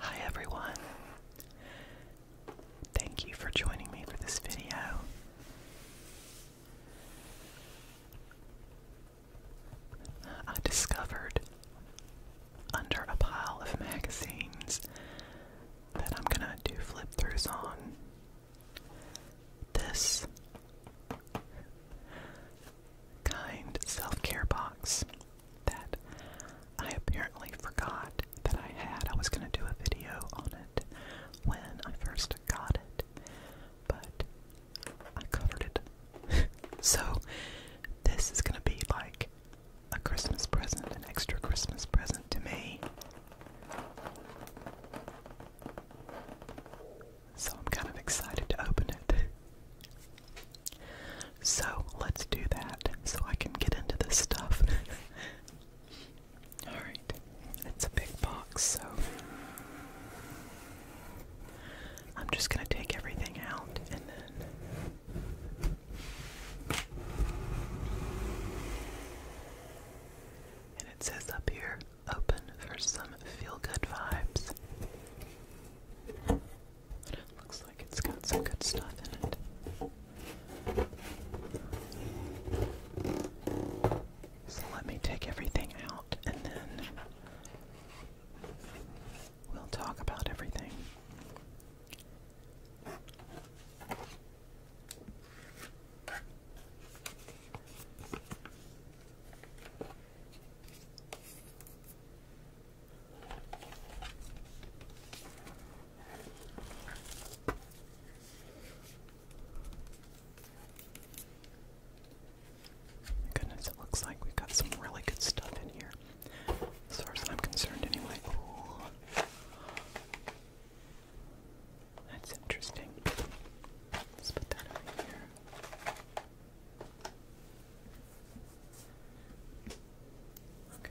Hi everyone. Thank you for joining me for this video. I discovered under a pile of magazines that I'm going to do flip throughs on this kind self care box that I apparently forgot that I had. I was going to do a video on it when I first got it, but I covered it. so, this is going to be like a Christmas present, an extra Christmas present to me so I'm kind of excited to open it. So let's do that so I can get into this stuff. Alright, it's a big box, so I'm just going to take everything out and then. And it says up here open for some feel good vibes. looks like it's got some good stuff in it. So let me take everything out and then we'll talk about everything. Goodness, it looks like we've got some really good stuff in here. As far as I'm concerned, anyway. That's interesting. Let's put that over here. Okay. Okay.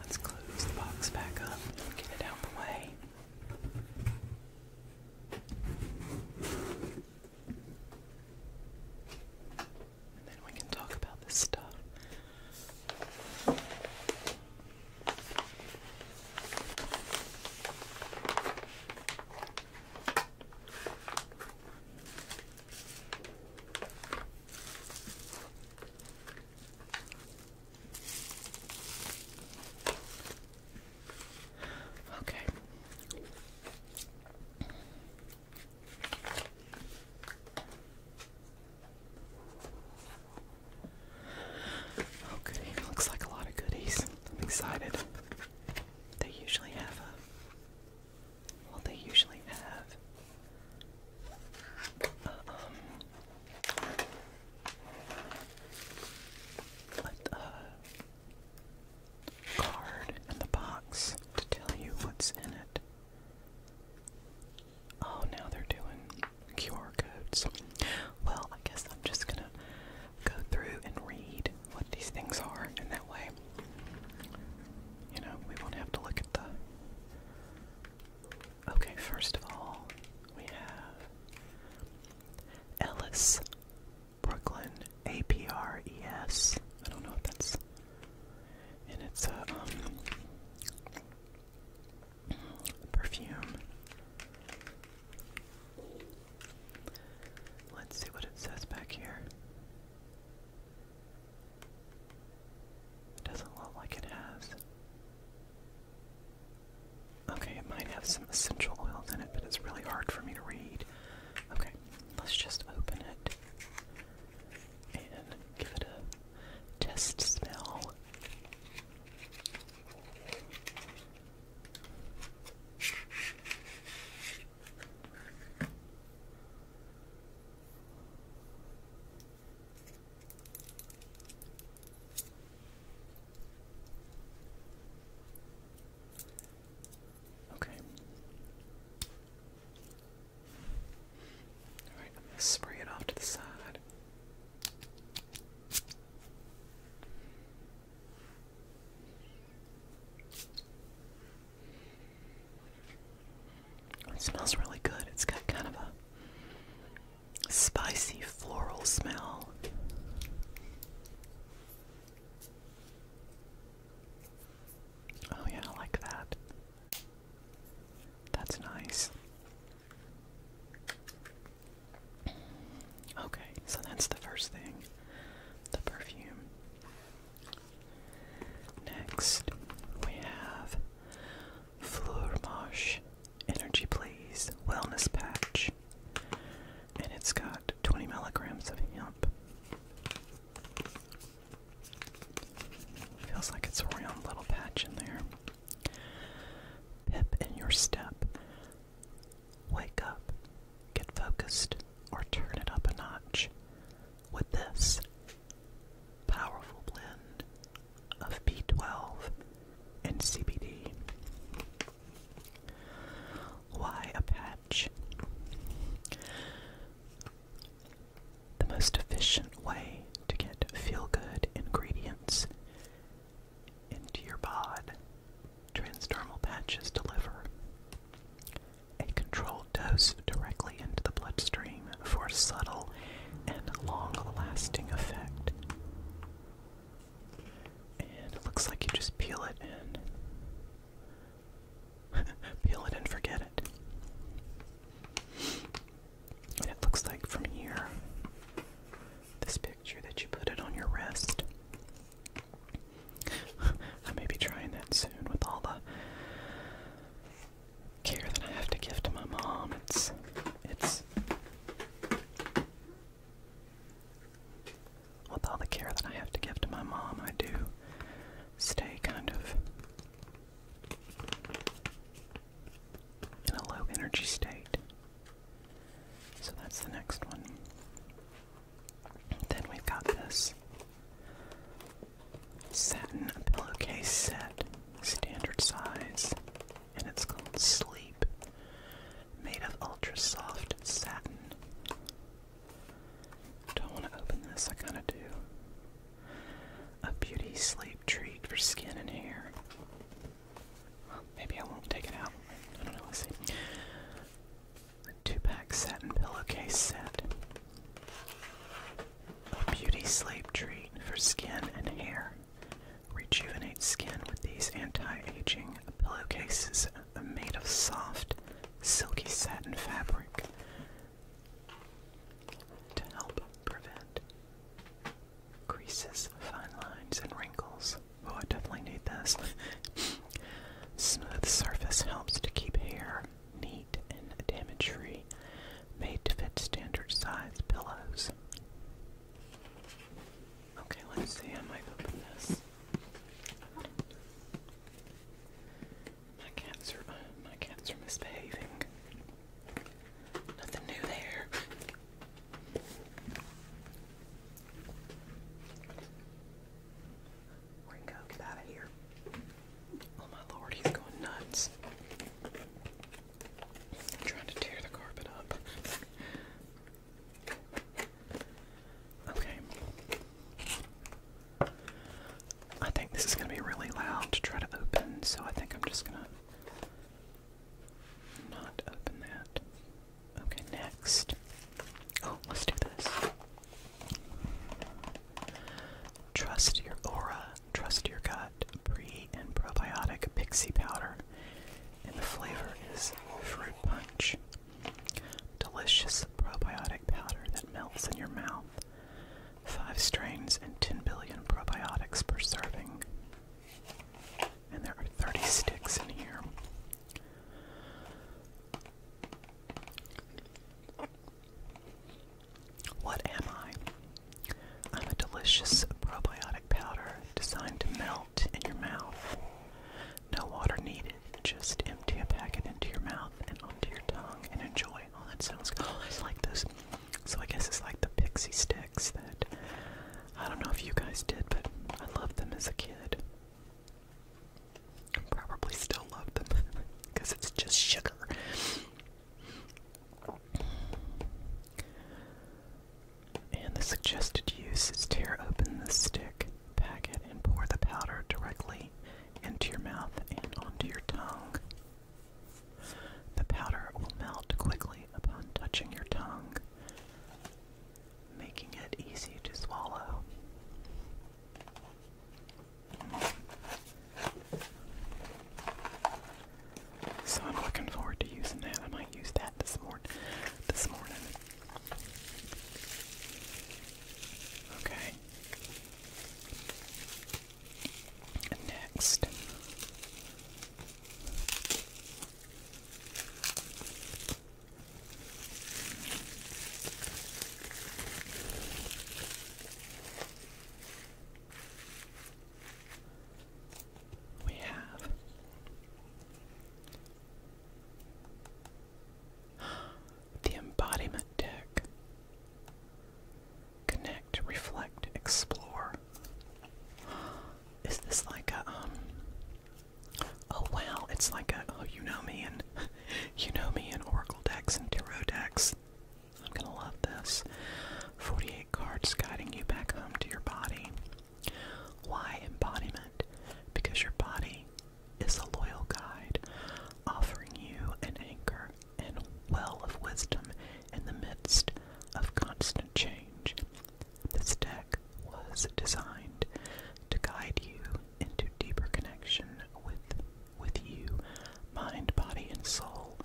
Let's close the box back up and get it out the way. And then we can talk about this stuff. Okay. Okay, looks like a lot of goodies. I'm excited. They usually have a well, they usually have. Uh, um. Let the uh, card and the box to tell you what's in it. Oh, now they're doing QR codes. Well, I guess I'm just gonna go through and read what these things are, in that way, you know, we won't have to look at the. Okay, first of all, we have Ellis, Brooklyn, A P R E S. I don't know if that's. And it's a uh, um, perfume. Let's see what it says back here. doesn't look like it has. Okay, it might have some essential oils in it, but it's really hard for me to read. Okay, let's just open it and give it a test smell. Okay. All spray it off to the side. It smells really good. It's got kind of a spicy floral smell. Oh, yeah, I like that. That's nice. Okay, so that's the first thing the perfume. Next, we have Fleurmarsh Energy Please Wellness Patch, and it's got 20 milligrams of hemp. Feels like it's a round little patch in there. Pep in your step. Wake up, get focused, or turn it up a notch with this powerful blend of B12 and CBD. Why a patch? The most efficient way to get feel good ingredients into your bod Transdermal patches deliver a controlled dose directly into the bloodstream for subtle and long-lasting effect. And it looks like you just peel it in. peel it and forget it. it looks like from here, this picture that you put it on your wrist, I may be trying that soon with all the care that I have to give to my mom. It's it's with all the care that I have to give to my mom, I do stay kind of in a low energy state. So that's the next one. Then we've got this satin pillowcase set, standard size, and it's called Sleep, made of ultra soft satin. Don't want to open this, I kind of do. A beauty sleep treat for skin and hair. maybe I won't take it out. I don't know, let's see. A two-pack satin pillowcase set. A beauty sleep treat for skin and hair. Rejuvenate skin with these anti-aging pillowcases uh, made of soft, silky satin fabric to help prevent creases, fine lines, and wrinkles. Oh, I definitely need this. Smooth surface helps to keep hair neat and damage free. Made to fit standard size pillows. Okay, let's see. I might open this. My cats are my cats are misbehaving. Nothing new there. Ringo, get out of here. Oh my lord, he's going nuts. i trying to tear the carpet up. Okay. I think this is going to be really loud to try to open, so I think I'm just going to not open that. Okay, next. Oh, let's do this. Trust your aura, trust your gut, pre and probiotic pixie powder. And the flavor is fruit punch. Delicious probiotic powder that melts in your mouth. Five strains and 10 billion probiotics per serving. And there are 30 sticks in here. What am I? I'm a delicious probiotic powder designed to melt in your mouth. No water needed, just empty a packet into your mouth and onto your tongue and enjoy. Oh, that sounds good. Oh, like this. So I guess it's like the pixie sticks that I don't know if you guys did, but I loved them as a kid. Probably still love them because it's just sugar. And the suggested use is tear open the stick packet and pour the powder directly into your mouth and onto your tongue. The powder will melt quickly upon touching your tongue making it easy to swallow. So I'm looking forward to using that. I might use that this morning. This morning. Okay. Next. We have the embodiment deck. Connect, reflect, explore. Is this like a um, Oh wow, it's like a oh you know me and you know me and Oracle decks and Tarot decks. I'm gonna love this. 48 cards guiding you back home to your body. Why embodiment? Because your body is a loyal guide, offering you an anchor and well of wisdom in the midst of constant change. This deck was designed to guide you into deeper connection with with you, mind, body, and soul.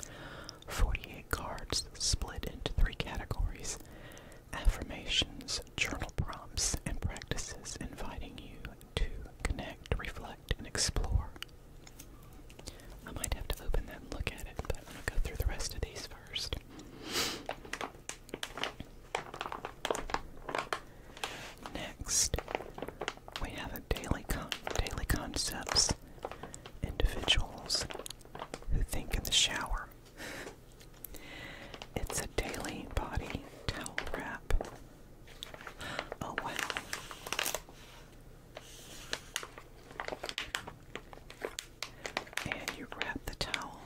48 cards split into three categories: affirmations, journal prompts, and practices inviting you to connect, reflect, and explore. I might have to open that look at it, but I'm going to go through the rest of these first. Next, we have a daily daily concepts individuals who think in the shower. It's a daily body towel wrap. Oh wow. And you wrap the towel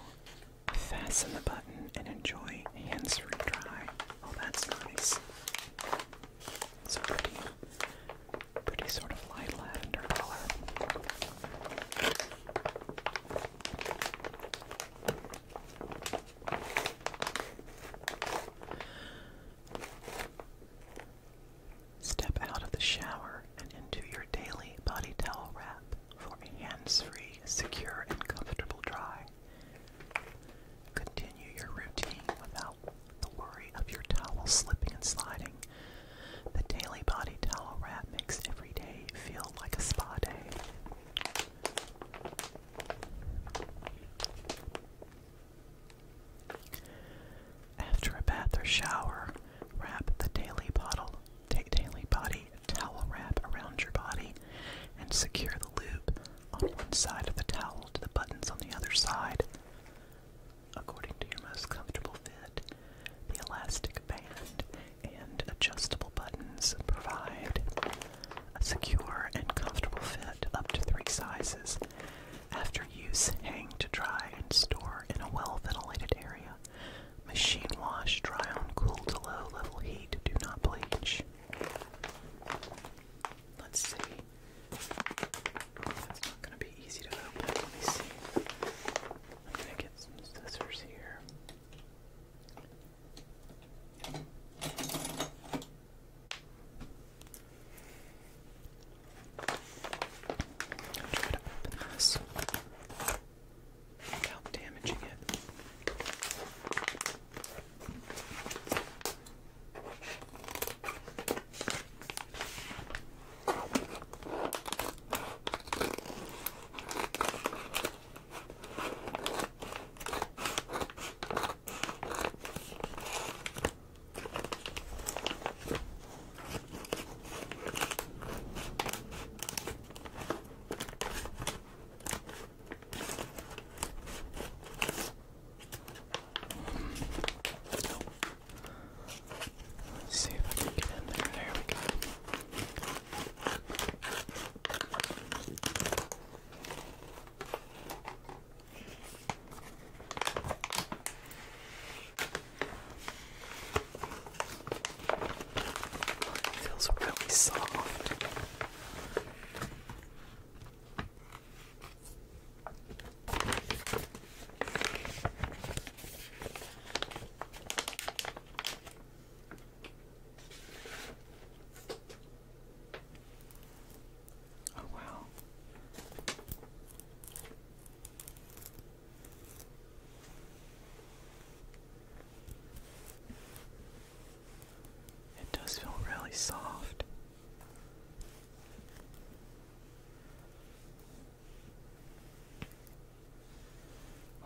Fasten the button and enjoy hands-free dry. Oh, that's nice. It's pretty, pretty sort of light lavender color. Step out of the shower and into your daily body towel wrap for a hands-free, secure, and comfortable dry. Continue your routine without the worry of your towel slipping and sliding. The Daily Body Towel Wrap makes every day feel like a spa day. After a bath or shower, wrap the daily bottle, daily body towel wrap around your body and secure the loop on one side of the towel to the buttons on the other side. According to your most comfortable fit, the elastic band and adjustable buttons provide a secure and comfortable fit up to three sizes. After use, hang to dry and store in a well ventilated area Machine wash, dry on cool to low level heat, do not bleach. Let's see. That's not going to be easy to open. Let me see. I'm going to get some scissors here. try to open this without damaging it. Let's see if I can get in there. There we go. It feels really soft. Oh, wow. It does feel really soft.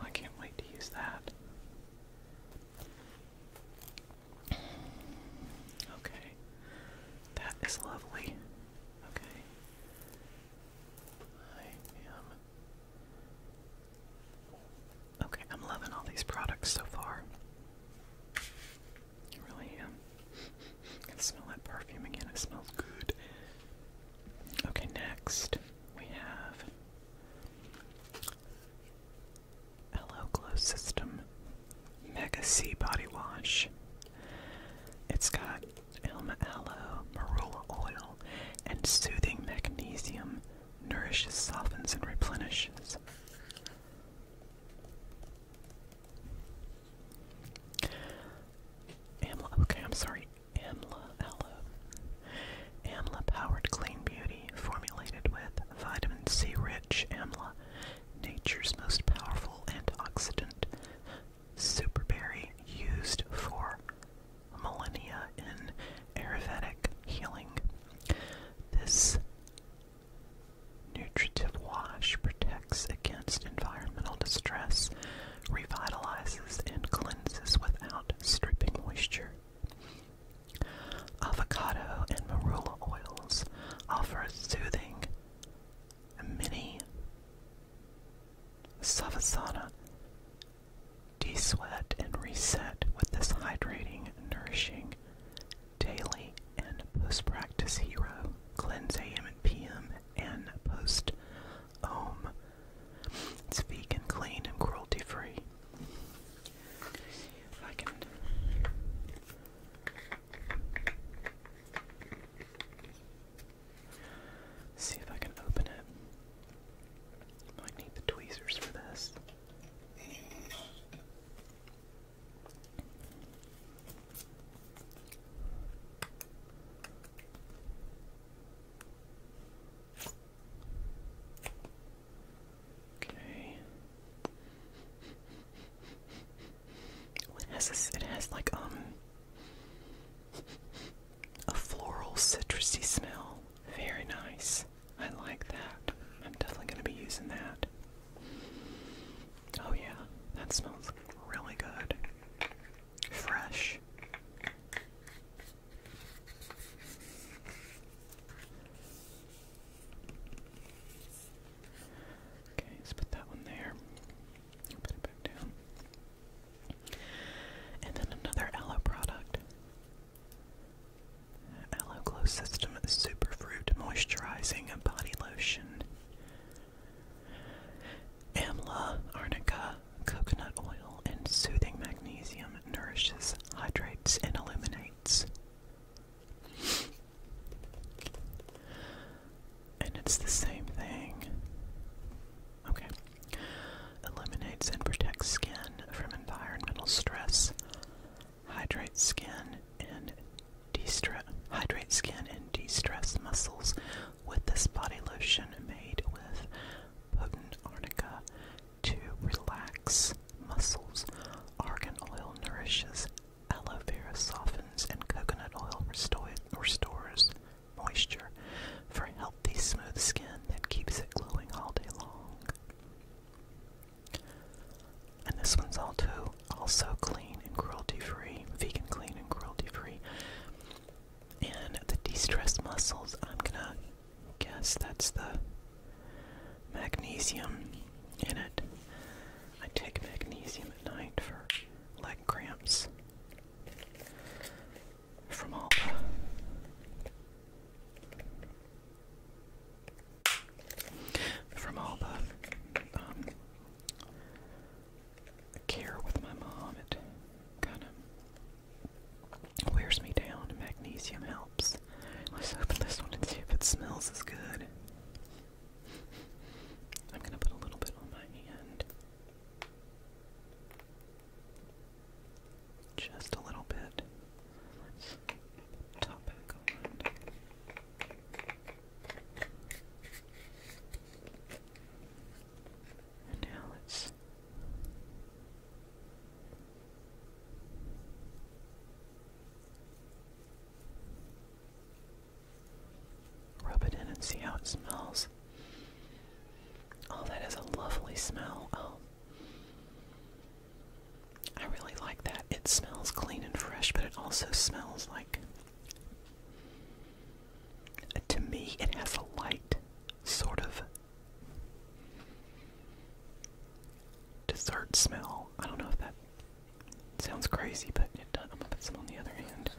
I can't wait to use that. Okay, that is lovely. Okay, I am. Okay, I'm loving all these products so far. really um, I can smell that perfume again. It smells good. Okay, next we have Hello Glow System Mega C Body Wash. It's got Elm aloe, marula oil, and soothing magnesium nourishes, softens, and replenishes. Amla, okay, I'm sorry. Amla aloe. Amla powered clean beauty formulated with vitamin C rich amla, nature's most powerful antioxidant, superberry used for millennia in Ayurvedic healing. This nutritive wash protects against environmental distress, revitalizes, and cleanses without stripping moisture. Avocado and marula oils offer a soothing mini savasana De-sweat and reset with this hydrating, nourishing daily and post-practice hero cleanse AM and PM and post home It's vegan, clean, and cruelty-free. See if I can open it. I need the tweezers for this. Okay. What has It has like um a floral citrusy smell. Very nice. I like that. I'm definitely going to be using that. Oh, yeah, that smells really good. Fresh. Okay, let's put that one there. Put it back down. And then another aloe product. Aloe Glow System Superfruit Moisturizing Body Lotion. Amla, arnica, coconut oil, and soothing magnesium nourishes, hydrates, and illuminates. And it's the same thing. Okay. Eliminates and protects skin from environmental stress. Hydrates skin and de-stress. skin and de-stress muscles with this body lotion made with potent arnica to relax muscles. Argan oil nourishes, aloe vera softens, and coconut oil restores moisture for healthy, smooth skin that keeps it glowing all day long. And this one's all too also clean and cruelty free, vegan clean and cruelty free. And the de-stress muscles, I'm gonna guess that's the magnesium in it. I take magnesium at night for leg cramps from Harper. From Harper. Um, care with my mom, it kind of wears me down. Magnesium helps. Let's open this one and see if it smells as good. I'm gonna put a little bit on my hand. Just a little bit. now let's rub it in and see how it smells this. Oh, that is a lovely smell. Oh. I really like that. It smells clean and fresh, but it also smells like. To me, it has a light sort of dessert smell. I don't know if that sounds crazy, but it does. I'm gonna put some on the other hand.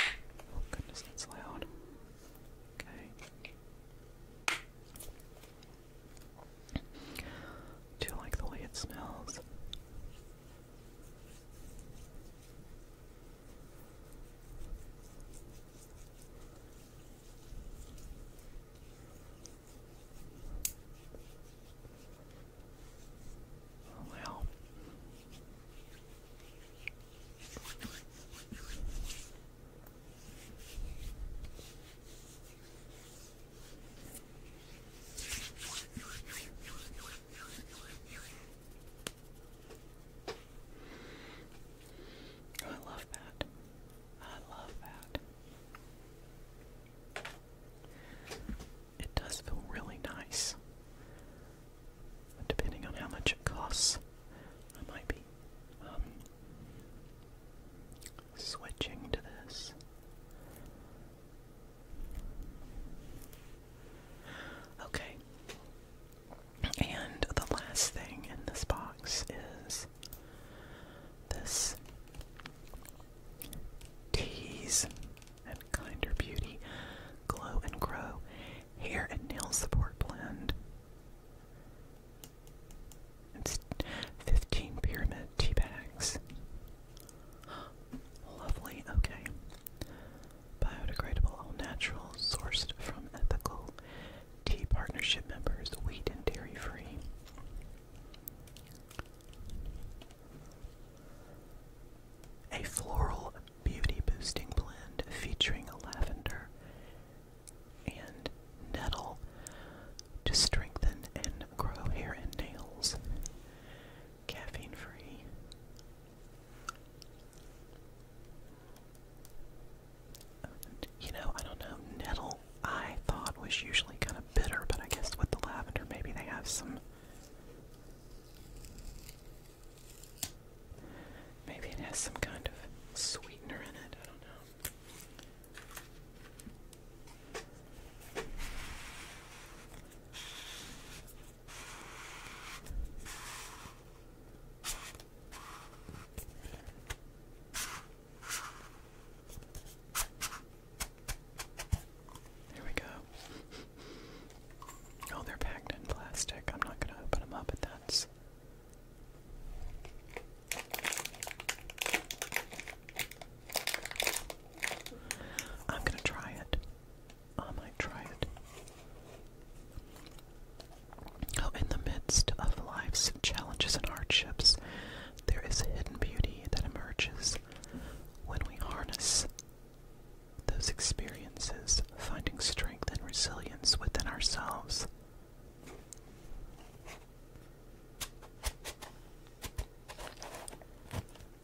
Oh goodness, that's loud. Okay. Do you like the way it smells? Oh, well. I love that. I love that it does feel really nice. depending on how much it costs, I might be um, switching to this. Okay. And the last thing in this box is this tease and Kinder Beauty Glow and Grow Hair and Nail Support Blend. It's 15 pyramid tea bags. Lovely, okay. Biodegradable, all natural, sourced from ethical tea partnership members, wheat and dairy free. A floral beauty boosting blend featuring lavender and nettle to strengthen and grow hair and nails. Caffeine free. You know, I don't know, nettle I thought was usually kind of bitter, but I guess with the lavender maybe they have some Maybe it has some kind of sweetener in it, I don't know. There we go. Oh, they're packed in plastic. I'm not going to open them up, but that's. I'm going to try it. I might try it. Oh, in the midst of life's challenges and hardships, there is a hidden beauty that emerges when we harness those experiences, finding strength and resilience within ourselves.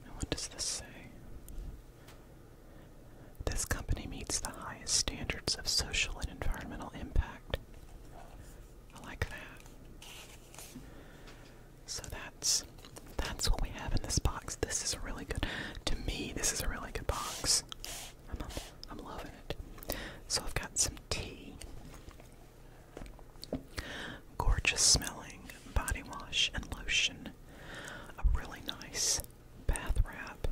And what does this say? This company meets the highest standards of social and environmental impact. I like that. So that's that's what we have in this box. This is really good to me, this is a really good box. I'm I'm loving it. So I've got some tea. Gorgeous smelling body wash and lotion. A really nice bath wrap.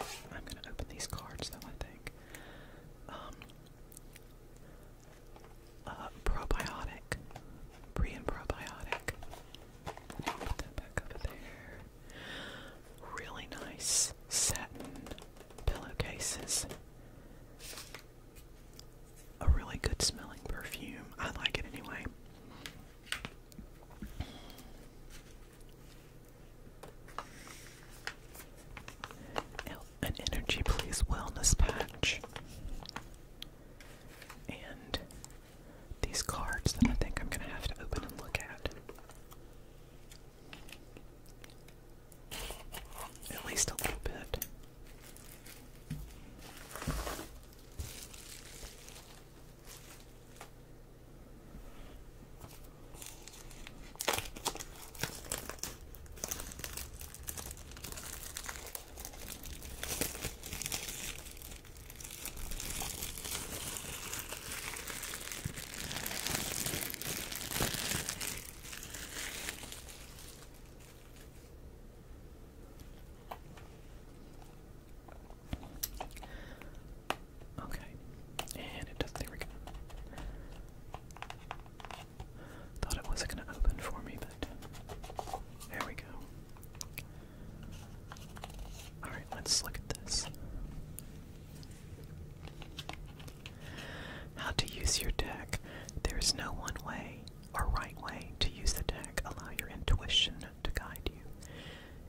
I'm gonna open these cards though I think. Um, uh, probiotic, pre and probiotic. Put that back over there. Really nice satin pillowcases. A really good smelling perfume. I like it anyway. An energy, please. Wellness patch and these cards that I think I'm going to have to open and look at. At least a little bit. Okay, and it does. There we go. Thought it wasn't going to open for me, but there we go. Alright, let's look at this. How to use your deck. There is no one way or right way to use the deck. Allow your intuition to guide you,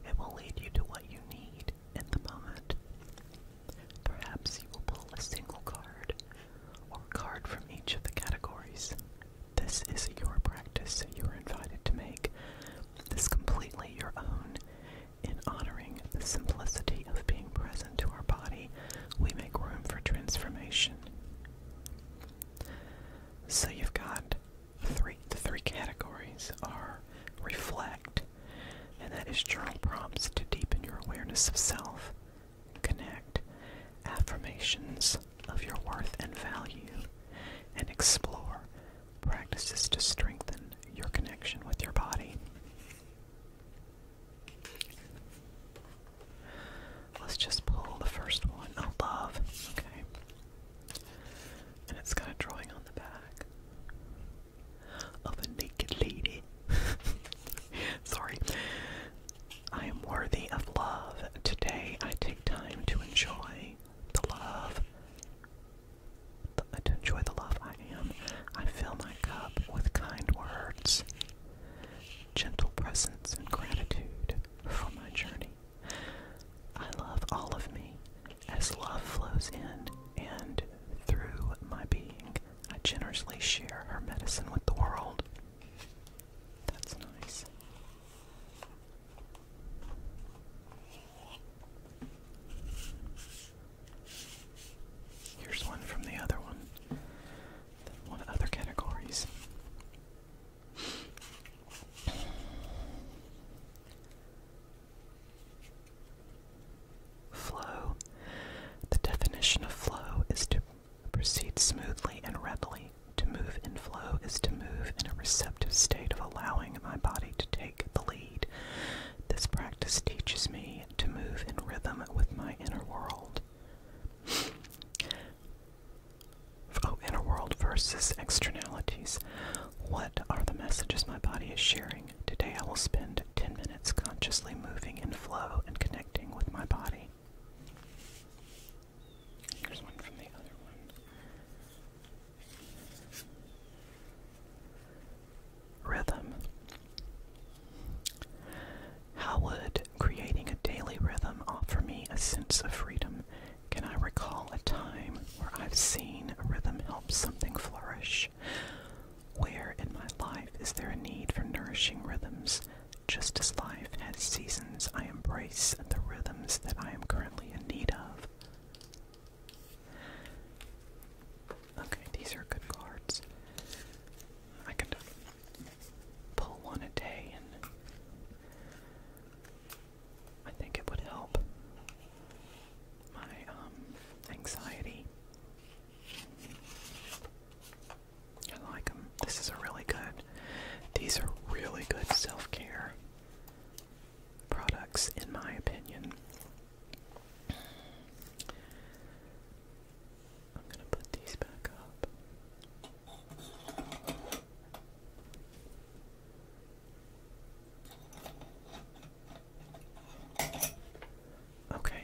it will lead you to what you need in the moment. Perhaps you will pull a single card or card from each of the categories. This is your practice you're invited to make. This completely your own. In honoring the simplicity of being present to our body, we make room for transformation. So you've got three the three categories are reflect, and that is journal prompts to deepen your awareness of self. Connect affirmations of your worth and value and explore practices to strengthen your connection with your body. Let's just pull the first one. Oh, love. Okay. And it's got a drawing on the back of a naked lady. Sorry. I am worthy of love. Today I take time to enjoy the love. To enjoy the love I am. I fill my cup with kind words, gentle presence, and gratitude for my journey. I love all of me as love flows in and through my being. I generously share her medicine with the world. That's nice. Here's one from the other one. one of other categories. Flow. The definition of flow is to proceeds smoothly and readily. To move in flow is to move in a receptive state of allowing my body to take the lead. This practice teaches me to move in rhythm with my inner world. Oh, inner world versus externalities. What are the messages my body is sharing? Today I will spend 10 minutes consciously moving in flow and connecting with my body. Rhythm. How would creating a daily rhythm offer me a sense of freedom? Can I recall a time where I've seen a rhythm help something flourish? Where in my life is there a need for nourishing rhythms just as life has seasons, I embrace the rhythms that I am currently in need of. Okay, these are good cards. I could pull one a day, and I think it would help my um, anxiety. I like them. This is a really good. These are really good self-care products, in my opinion. I'm gonna put these back up. Okay,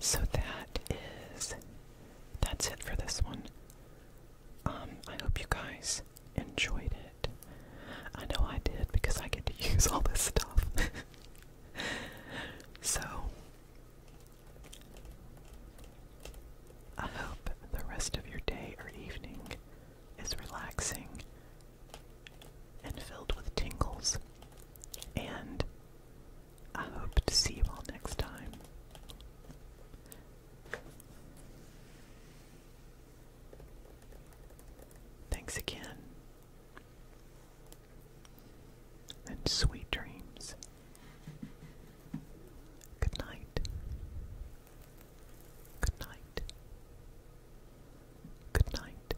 so that is that's it for this one. Um, I hope you guys enjoyed it. I know I did because I get to use all this stuff. so I hope the rest of your day or evening is relaxing and filled with tingles and I hope to see you all next time. Thanks again. And sweet dreams. Good night. Good night. Good night.